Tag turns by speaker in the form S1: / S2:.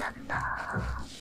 S1: 아, 난다.